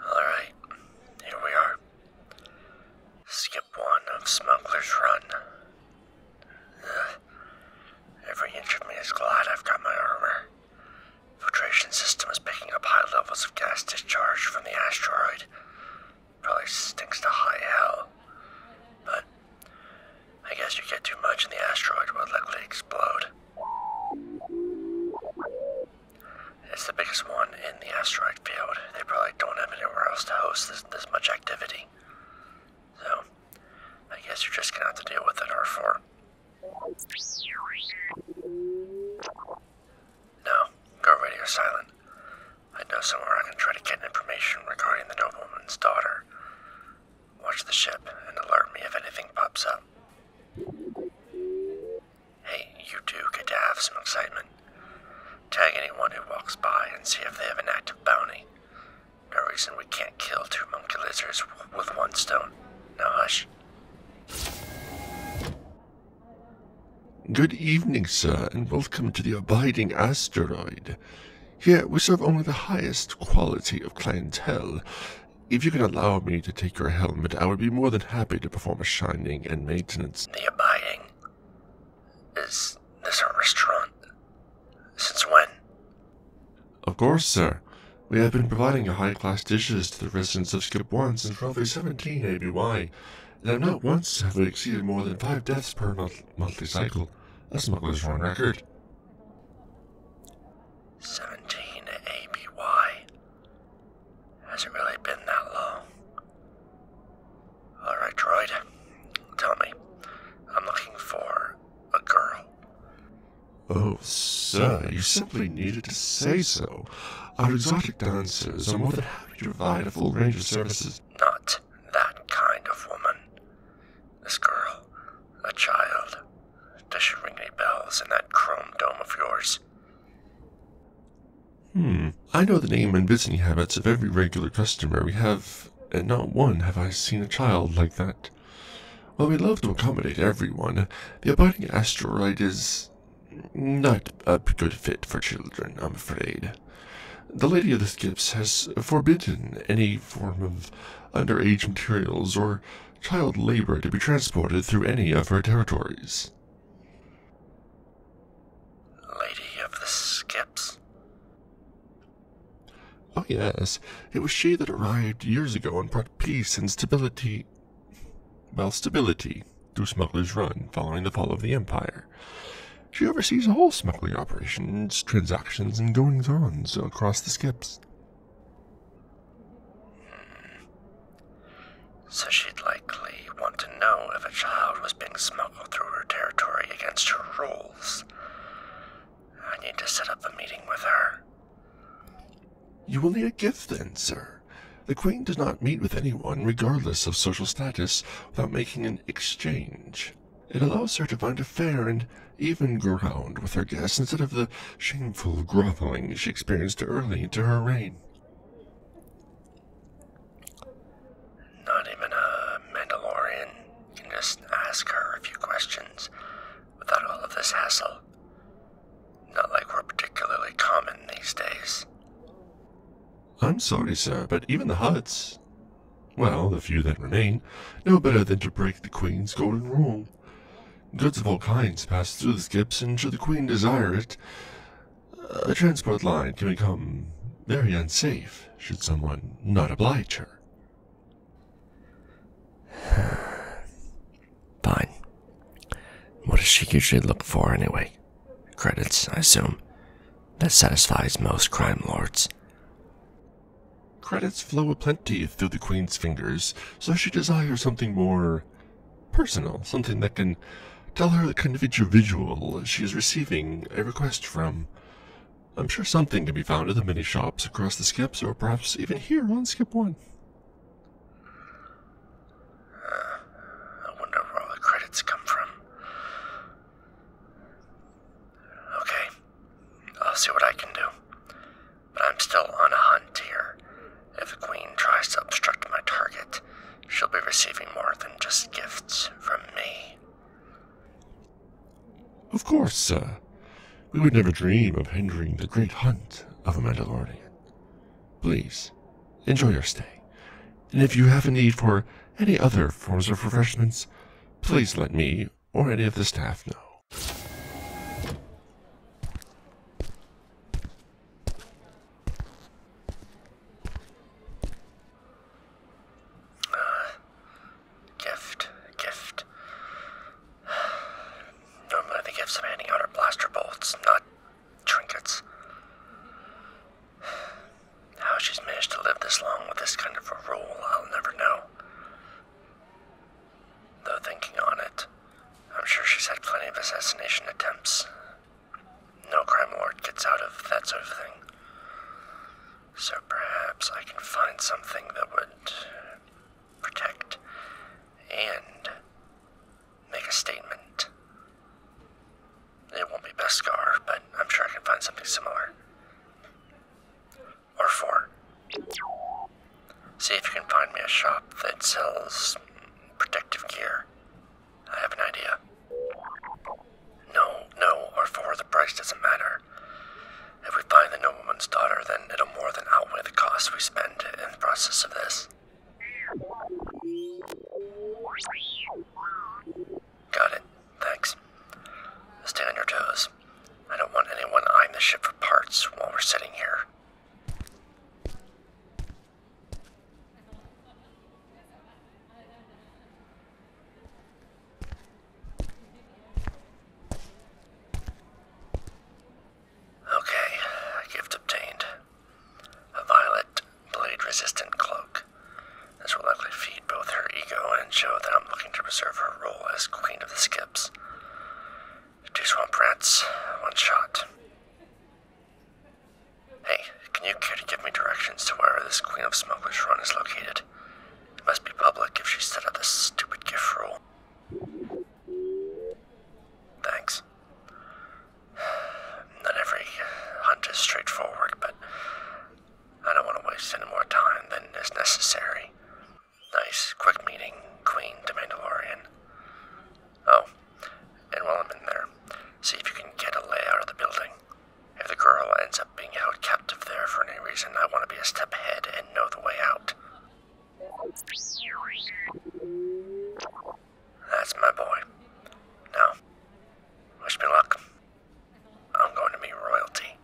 Alright, here we are. Skip one of Smuggler's Run. Every inch of me is glad I've got my armor. Filtration system is picking up high levels of gas discharge from the asteroid. Probably stinks to high hell. But I guess you get too much and the asteroid will likely explode. It's the biggest one in the asteroid field. They probably don't have anywhere else to host this, much activity. So, I guess you're just gonna have to deal with it, R4. No, go radio silent. I know somewhere I can try to get information regarding the nobleman's daughter. Watch the ship and alert me if anything pops up. Hey, you two get to have some excitement. Tag anyone who walks by and see if they have an active bounty. No reason we can't kill two monkey lizards with one stone. Now hush. Good evening, sir, and welcome to the abiding asteroid. Here we serve only the highest quality of clientele, if you can allow me to take your helmet, I would be more than happy to perform a shining and maintenance. The abiding? Is this a restaurant? Since when? Of course, sir. We have been providing high-class dishes to the residents of Skip 1 since roughly 17 ABY, and not once have we exceeded more than five deaths per month monthly cycle. That's not A smuggler's run record. 17 ABY. Hasn't really been that long. Alright, droid. Tell me, I'm looking for a girl. Oh, sir, you simply needed to say so. Our exotic dancers are more than happy to provide a full range of services. Not that kind of woman. This girl, a child. Does she ring any bells in that chrome dome of yours? Hmm. I know the name and visiting habits of every regular customer we have, and uh, not one have I seen a child like that. While we love to accommodate everyone, the abiding asteroid is not a good fit for children, I'm afraid. The Lady of the Skips has forbidden any form of under-age materials or child labor to be transported through any of her territories. Lady of the Skips? Oh, yes. It was she that arrived years ago and brought peace and stability. Well, stability through Smuggler's Run following the fall of the Empire. She oversees all smuggling operations, transactions, and goings on across the skips. So she'd likely want to know if a child was being smuggled through her territory against her rules. I need to set up a meeting with her. You will need a gift then, sir. The Queen does not meet with anyone, regardless of social status, without making an exchange. It allows her to find a fair and even ground with her guests instead of the shameful groveling she experienced early into her reign. Not even a Mandalorian can just ask her a few questions without all of this hassle. Not like we're particularly common these days. I'm sorry, sir, but even the Huts, well, the few that remain, know better than to break the Queen's golden rule. Goods of all kinds pass through the skips, and should the Queen desire it, a transport line can become very unsafe should someone not oblige her. Fine. What does she usually look for anyway? Credits, I assume. That satisfies most crime lords. Credits flow aplenty through the Queen's fingers, so she desires something more personal, something that can tell her the kind of individual she is receiving a request from. I'm sure something can be found in the many shops across the skips, or perhaps even here on Skip 1. Uh, I wonder where all the credits come from. Okay, I'll see what I can do. But I'm still on a hunt here, if the Queen tries to obstruct my target, she'll be receiving more than just gifts from me. Of course, sir. We would never dream of hindering the great hunt of a Mandalorian. Please, enjoy your stay. And if you have a need for any other forms of refreshments, please let me or any of the staff know. Ah, gift, gift. Normally the gifts of of blaster bolts, not trinkets. How she's she's managed to live this this long with kind a rule, I'll I'm never know. Though thinking on it, sure had plenty assassination attempts no crime lord gets out of that sort of thing. So perhaps I can find something that would protect and make a statement. It won't be Beskar, but I'm sure I can find something similar. Or four. See if you can find me a shop that sells protective gear I have an idea. No, no, or for the price doesn't matter. If we find the nobleman's daughter, then it'll more than outweigh the cost we spend in the process of this. Got it. Thanks. Stay on your toes. I don't want anyone eyeing the ship for parts while we're sitting here. A violet blade-resistant cloak. This will likely feed both her her ego and show that I'm looking to preserve role as Queen of the Skips. Two swamp rats, one shot. Hey, can you care to give me directions to where this Queen of Smugglers Run is located? It must be public if she set up this stupid gift rule. Thanks. Not every hunt is straightforward, but I don't want to waste any more time than is necessary. Nice, quick meeting, Queen to Mandalorian. Oh, and while I'm in there, see if you can get a layout of the building. If the girl ends up being held captive there for any reason, I want to be a step ahead and know the way out. That's my boy. Now, wish me luck. I'm going to be royalty.